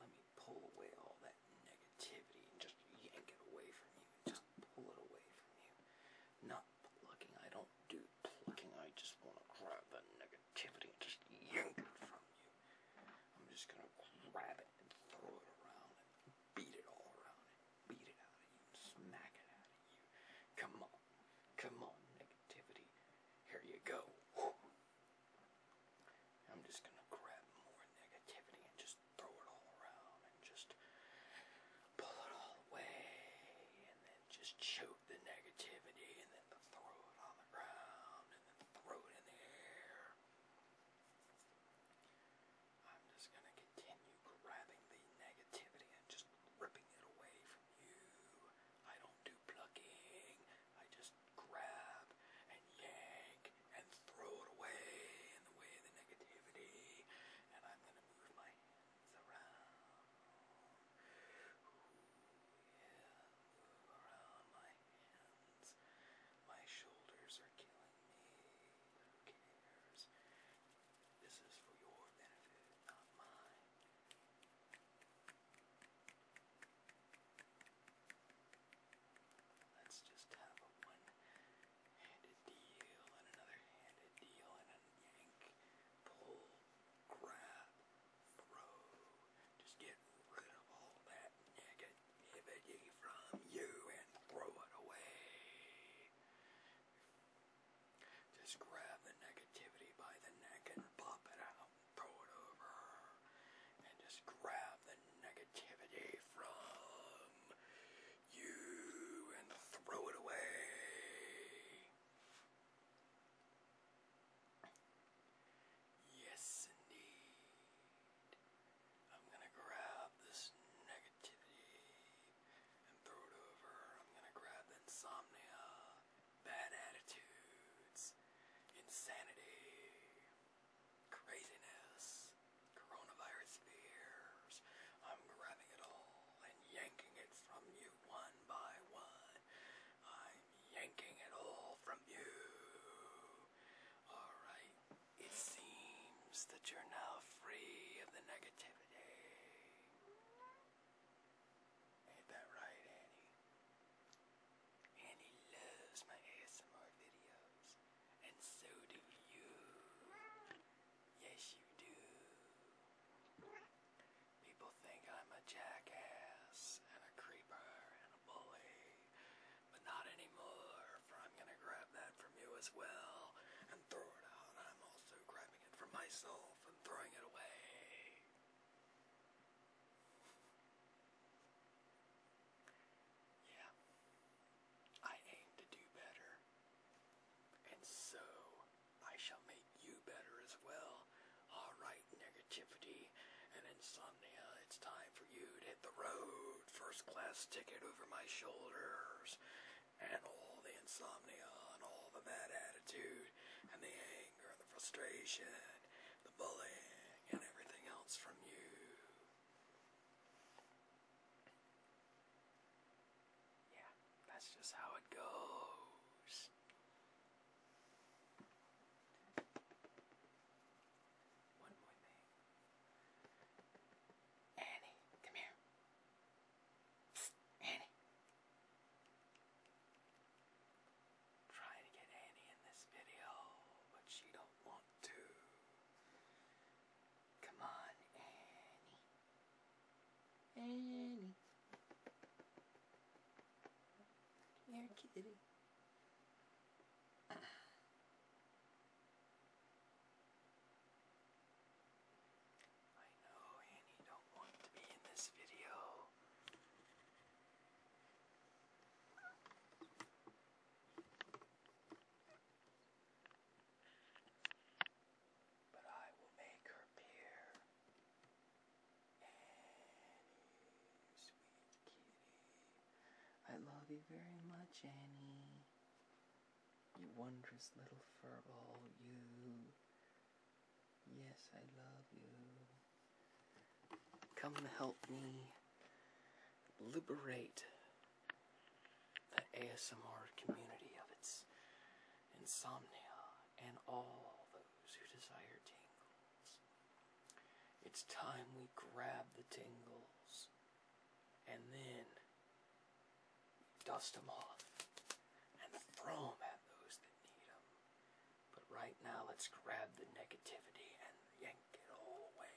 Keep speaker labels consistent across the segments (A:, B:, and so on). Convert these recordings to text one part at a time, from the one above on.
A: Let me pull away all that negativity and just yank it away from you. Just pull it away from you. Not plucking. I don't do plucking. I just want to grab the negativity and just yank it from you. I'm just going to grab it and throw it around and beat it all around beat it out of you, smack it out of you. Come on, come on, negativity. Here you go. I'm just gonna grab more negativity and just throw it all around and just pull it all away and then just choke the negativity and then throw it on the ground and then throw it in the air. I'm just going to continue grabbing the negativity and just ripping it away from you. I don't do plucking. I just grab and yank and throw it away in the negativity. And I'm going to move my hands around. around my hands. My shoulders are killing me cares. This is for your benefit, not mine. Let's just have a one-handed deal and another handed deal and a yank, pull, grab, throw. Just get rid of all that negative negativity from you and throw it away. Just grab the negativity by the neck and pop it out, throw it over, and just grab the negativity from you and throw it away. Yes, indeed. I'm gonna grab this negativity and throw it over. I'm gonna grab insomnia, bad attitudes, insanity, craziness, coronavirus fears. I'm grabbing it all and yanking it from you one by one. I'm yanking it all from you. Alright, it seems that you're now free of the negativity. Ain't that right, Annie? Annie loves my ASMR videos, and so do you. Yes, you do. People think I'm a jackass and a creeper but not anymore, for I'm gonna grab that from you as well and throw it out. I'm also grabbing it from myself and throwing it away. Yeah. I aim to do better. And so I shall make you better as well. Alright, negativity and insomnia it's time for you to hit the road. First class ticket over my shoulders. And all the insomnia and all the bad attitude and the anger the frustration, the bullying and everything else from you. Yeah, that's just how it goes. One more thing. Annie, come here. Annie. Trying to get Annie in this video, but she don't want to. Come on, Annie. Annie. Here, kitty. I know, Annie, don't want to be in this video. But I will make her appear. Annie, sweet kitty. I love you very much, Annie. You wondrous little furball, you. Yes, I love you. Come help me liberate the ASMR community of its insomnia and all those who desire tingles. It's time we grab the tingles and then dust them off and throw them at those that need them. But right now, let's grab the negativity and yank it all away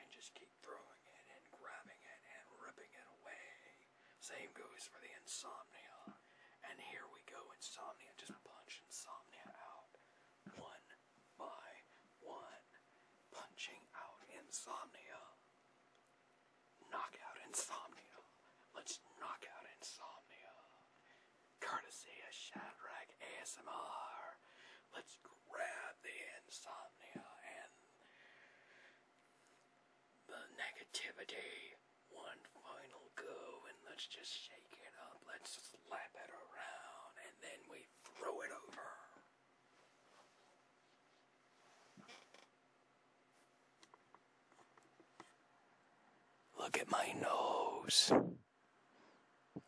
A: and just keep throwing it and grabbing it and ripping it away. Same goes for the insomnia. And here we go, insomnia. Just punch insomnia out one by one, punching out insomnia. Knock out insomnia. Let's knock out insomnia. Courtesy of Shadrach ASMR. Let's grab the insomnia and the negativity. One final go let's just shake it up. Let's slap it around, and then we throw it over. Look at my nose.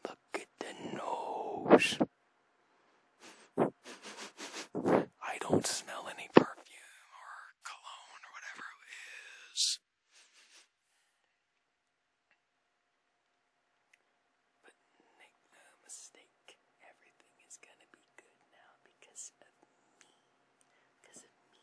A: Look at the nose. I don't smell any perfume or cologne or whatever it is. But make no mistake, everything is gonna be good now because of me. Because of me.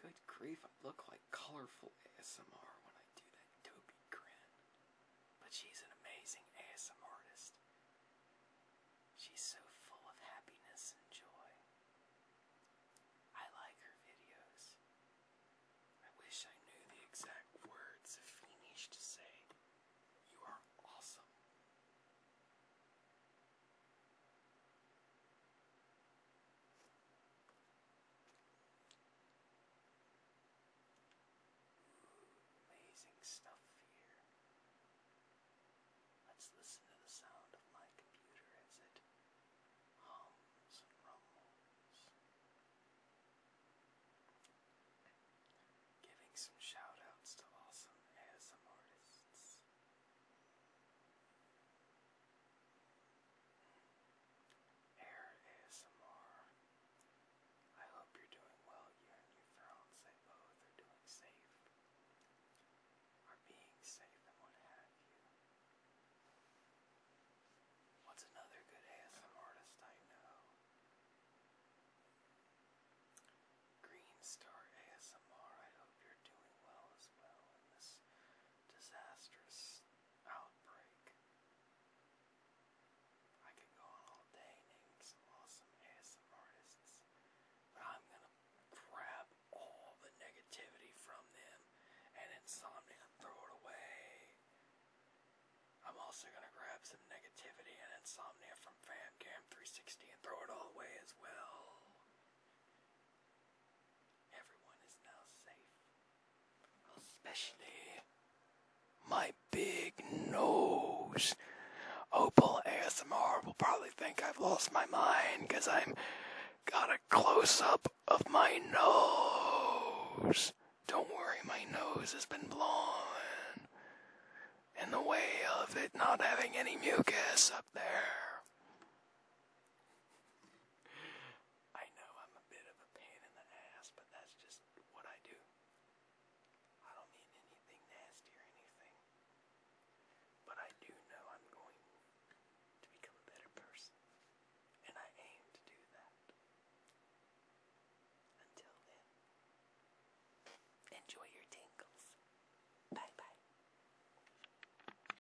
A: Good grief, I look like colorful ASMR when I do that dopey grin. But she's an amazing ASM artist. She's so full of happiness and joy. I like her videos. I wish I knew the exact words of Phoenix to say, You are awesome. Amazing stuff here. Let's listen to the sound of my computer as it hums and rumbles. Giving some shout to awesome ASM artists. Air ASMR. I hope you're doing well, you and your friends they both are doing safe, are being safe and what have you. What's another good ASM artist I know? Green Star ASMR, I hope you're doing well as well in this disastrous Outbreak. I could go on all day naming some awesome ASM artists, but I'm gonna grab all the negativity from them and insomnia throw it away. I'm also gonna grab some negativity and insomnia from FamCam360 and throw it all away as well. Everyone is now safe. Especially my big nose. Opal ASMR will probably think I've lost my mind because I'm got a close up of my nose. Don't worry, my nose has been blown in the way of it not having any mucus up there. I know I'm a bit of a pain in the ass, but that's just what I do. I don't mean anything nasty or anything. But I do know I'm going to become a better person. And I aim to do that. Until then, enjoy your tingles. Bye bye.